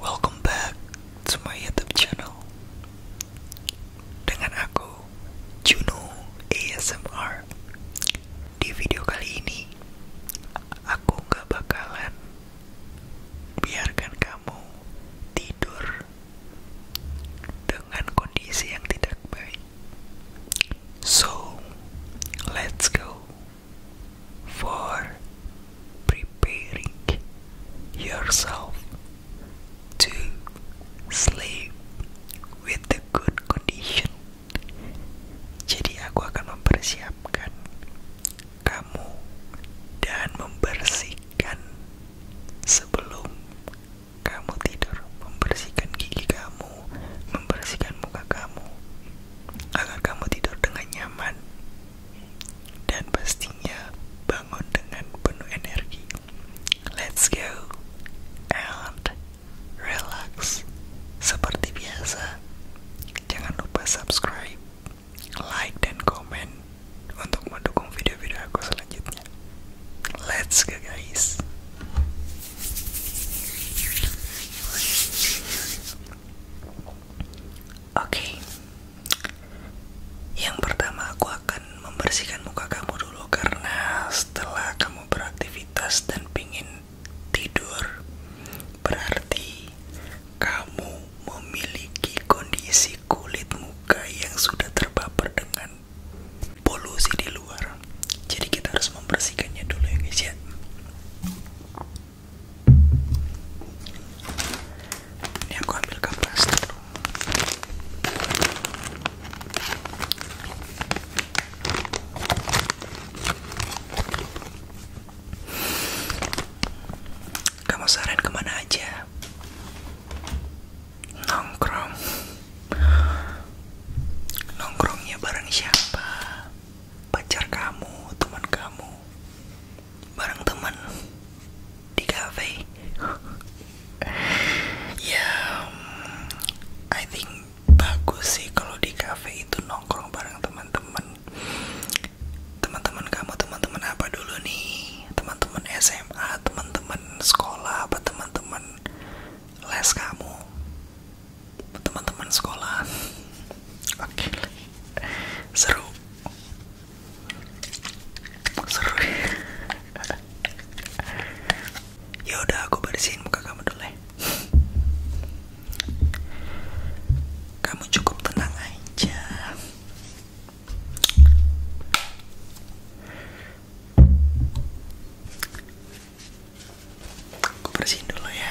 Welcome back to my YouTube channel dengan aku Juno ASMR. Di video kali ini aku nggak bakalan biarkan kamu tidur dengan kondisi yang tidak baik. So let's go for preparing yourself to sleep with a good condition. Jadi aku akan mempersiapkan kamu dan membersihkan sebelum kamu tidur membersihkan gigi kamu, membersihkan muka kamu agar kamu tidur dengan nyaman dan pastinya bangun dengan penuh energi. Let's go and relax. Seperti biasa, jangan lupa subscribe, like dan comment untuk mendukung video-video aku selanjutnya. Let's go guys. Oke. Yang pertama aku akan membersihkan muka kamu dulu karena setelah kamu beraktivitas dan pingin tidur berarti kamu memiliki kondisi kulit muka yang sudah terpapar dengan polusi di luar jadi kita harus membersihkannya dulu ya guys ya ini aku ambil kapas dulu kamu saran kemana aja nongkrong nongkrongnya bareng siapa pacar kamu teman kamu bareng teman di cafe ya I think bagus sih kalau di cafe itu nongkrong bareng teman-teman teman-teman kamu teman-teman apa dulu nih teman-teman SMA teman-teman sekolah apa teman-teman les kamu teman-teman sekolah oke seru seru yaudah aku bersihin muka kamu dulu ya. kamu cukup tenang aja Aku bersihin dulu ya.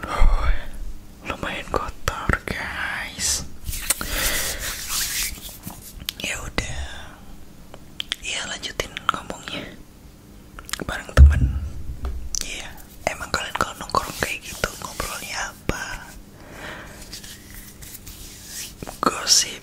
Loh, lumayan kotor guys ya udah ya lanjutin ngomongnya bareng temen ya emang kalian kalau nongkrong kayak gitu ngobrolnya apa gosip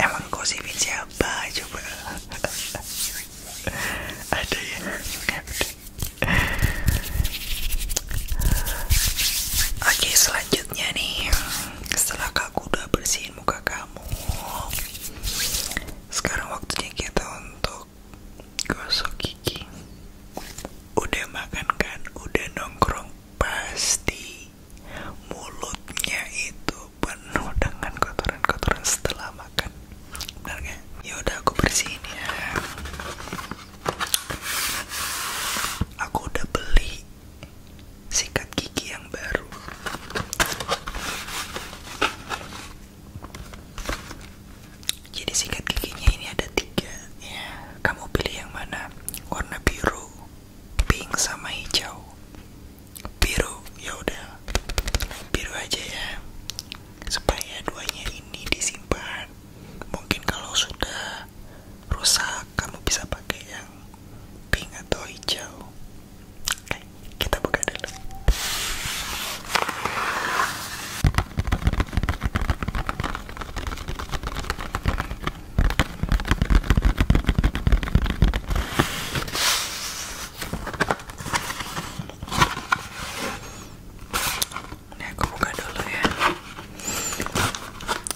Emang kau sipin siapa coba? Ada ya? Oke selanjutnya nih Setelah aku udah bersihin muka kamu Sekarang waktunya kita untuk Gosok gigi Udah makan kan? Udah nongkrong? Pasti mulutnya itu penuh dengan kotoran-kotoran setelah makan benar nggak ya udah aku bersihin ya aku udah beli sikat gigi yang baru jadi sikat giginya ini ada tiga ya. kamu pilih yang mana warna biru pink sama hijau biru ya udah biru aja ya supaya duanya ini disimpan mungkin kalau sudah rusak kamu bisa pakai yang pink atau hijau oke kita buka dulu ini aku buka dulu ya.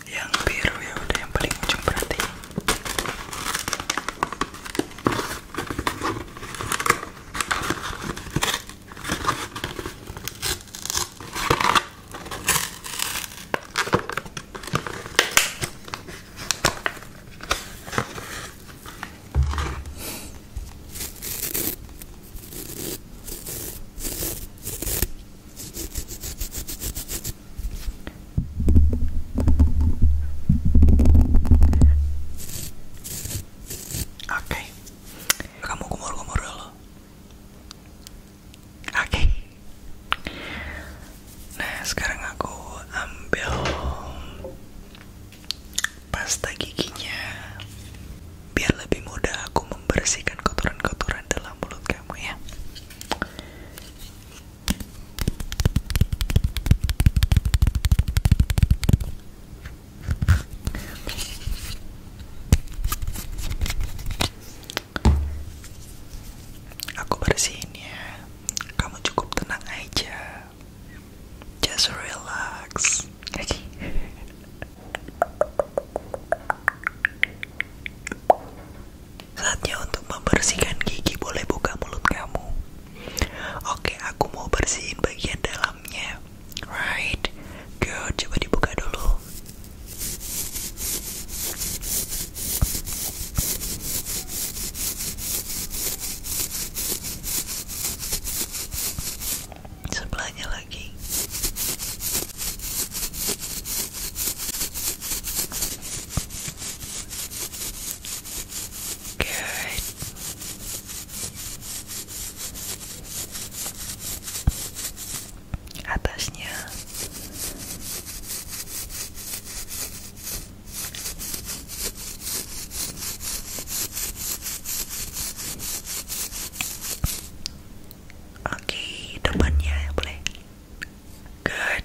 Yang biru ya udah yang paling ujung berarti. Oke, kamu kumur-kumur dulu. Oke. Nah, sekarang aku ambil pasta giginya biar lebih mudah aku membersihkan kotoran-kotoran dalam mulut kamu ya. Aku bersihin ya. Kamu cukup tenang aja. Just relax. Okay. Saatnya untuk membersihkan gigi. Boleh buka mulut kamu. Oke, aku mau bersihin bagian dalamnya. Right. Good. Coba dibuka dulu sebelahnya lagi Good atasnya oke okay, depannya boleh good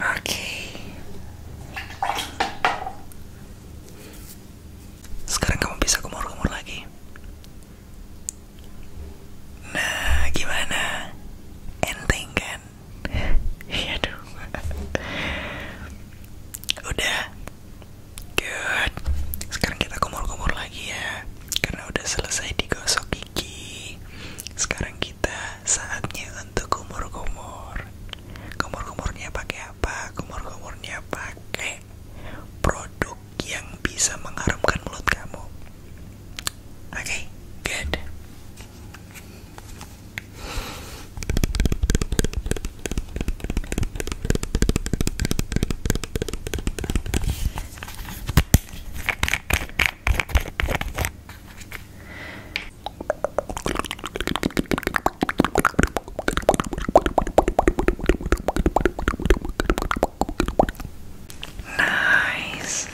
Oke. Sekarang kamu bisa kumur-kumur lagi. Nah, gimana? Enteng kan? Iya dong. Udah Good. Sekarang kita kumur-kumur lagi ya, karena udah selesai digosok gigi. Sekarang kita saatnya untuk kumur-kumur. Kumur-kumurnya pakai apa? Kumur-kumurnya pakai produk yang bisa mengharumkan mulut kamu. Oke, good. Nice.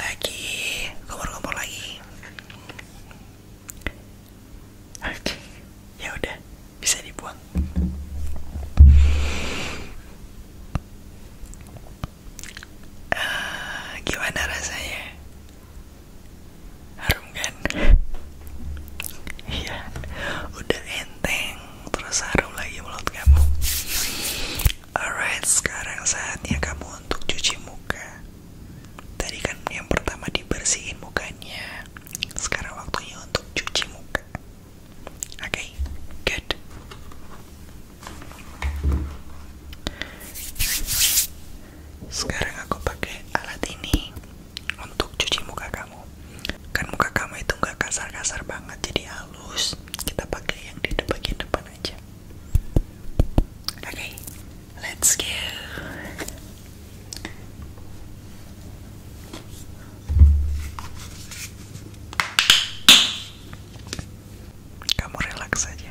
Lagi, kompor-kompor lagi. Oke, ya udah bisa dibuang. Eh, gimana rasanya? Harum kan? Iya, udah enteng terus harum lagi mulut kamu. Alright, sekarang saatnya kamu untuk cuci muka. Tadi kan yang pertama dibersihin mukanya sekarang waktunya untuk cuci muka oke okay? good sekarang aku pakai alat ini untuk cuci muka kamu kan muka kamu itu nggak kasar-kasar banget jadi halus kita pakai yang di depan depan aja oke Let's go. Kamu relax saja.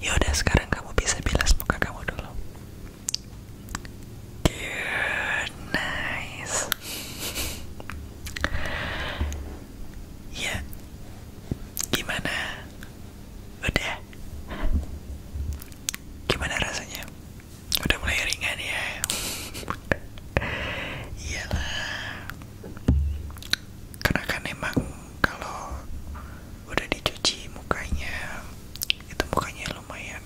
Yaudah sekarang kamu bisa bilas muka kamu dulu Good, nice Ya, gimana? Udah? Gimana rasanya? Udah mulai ringan ya? Iyalah Karena kan emang kalau udah dicuci mukanya itu mukanya lumayan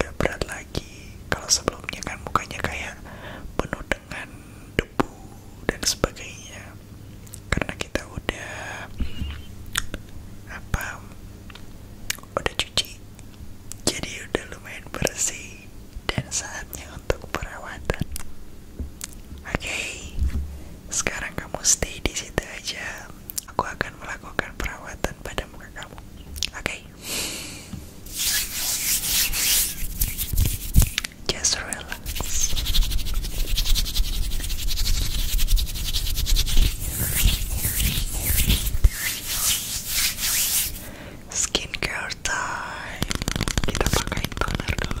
gak berat lagi kalau sebelumnya kan mukanya kayak penuh dengan debu dan sebagainya karena kita udah apa udah cuci jadi udah lumayan bersih dan saatnya untuk perawatan Oke, sekarang kamu stay di situ aja. Aku akan melakukan perawatan pada muka kamu. Oke, okay. just relax. Skincare time. Kita pakai toner dulu.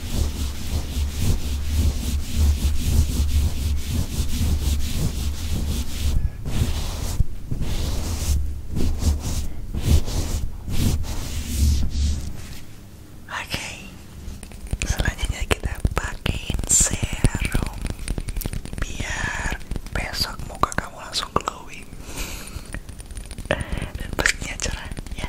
Oke, selanjutnya kita pakai serum biar besok muka kamu langsung glowing dan pastinya cerah ya.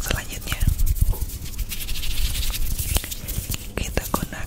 Selanjutnya kita gunakan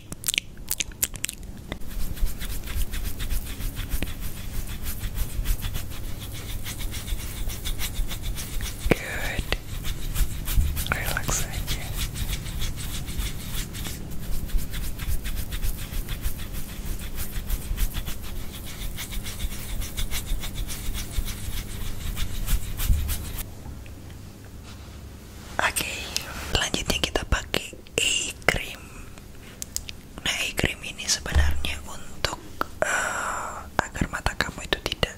Good. Relax Oke, lanjutnya kita pakai eye cream nah eye cream ini sebenarnya untuk eh, agar mata kamu itu tidak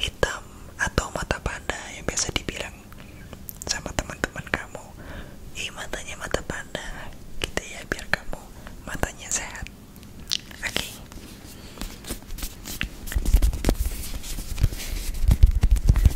hitam atau mata panda yang biasa dibilang sama teman-teman kamu ih matanya mata panda Kita gitu ya biar kamu matanya sehat oke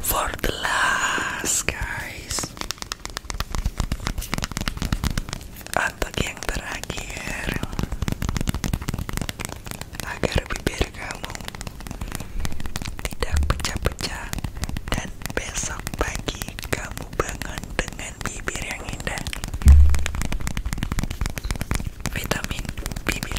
For the last, guys. Untuk yang terakhir, agar bibir kamu tidak pecah-pecah dan besok pagi kamu berkubangan dengan bibir yang indah. Vitamin bibir.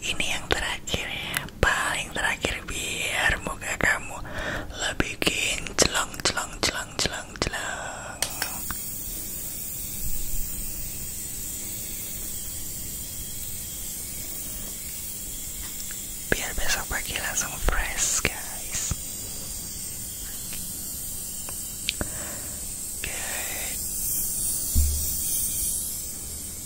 ini yang terakhir ya, paling terakhir biar muka kamu lebih bikin celong celong celong celong celong biar besok pagi langsung fresh guys Good.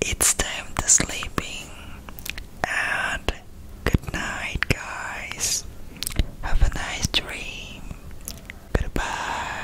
it's time to sleeping and good night guys have a nice dream goodbye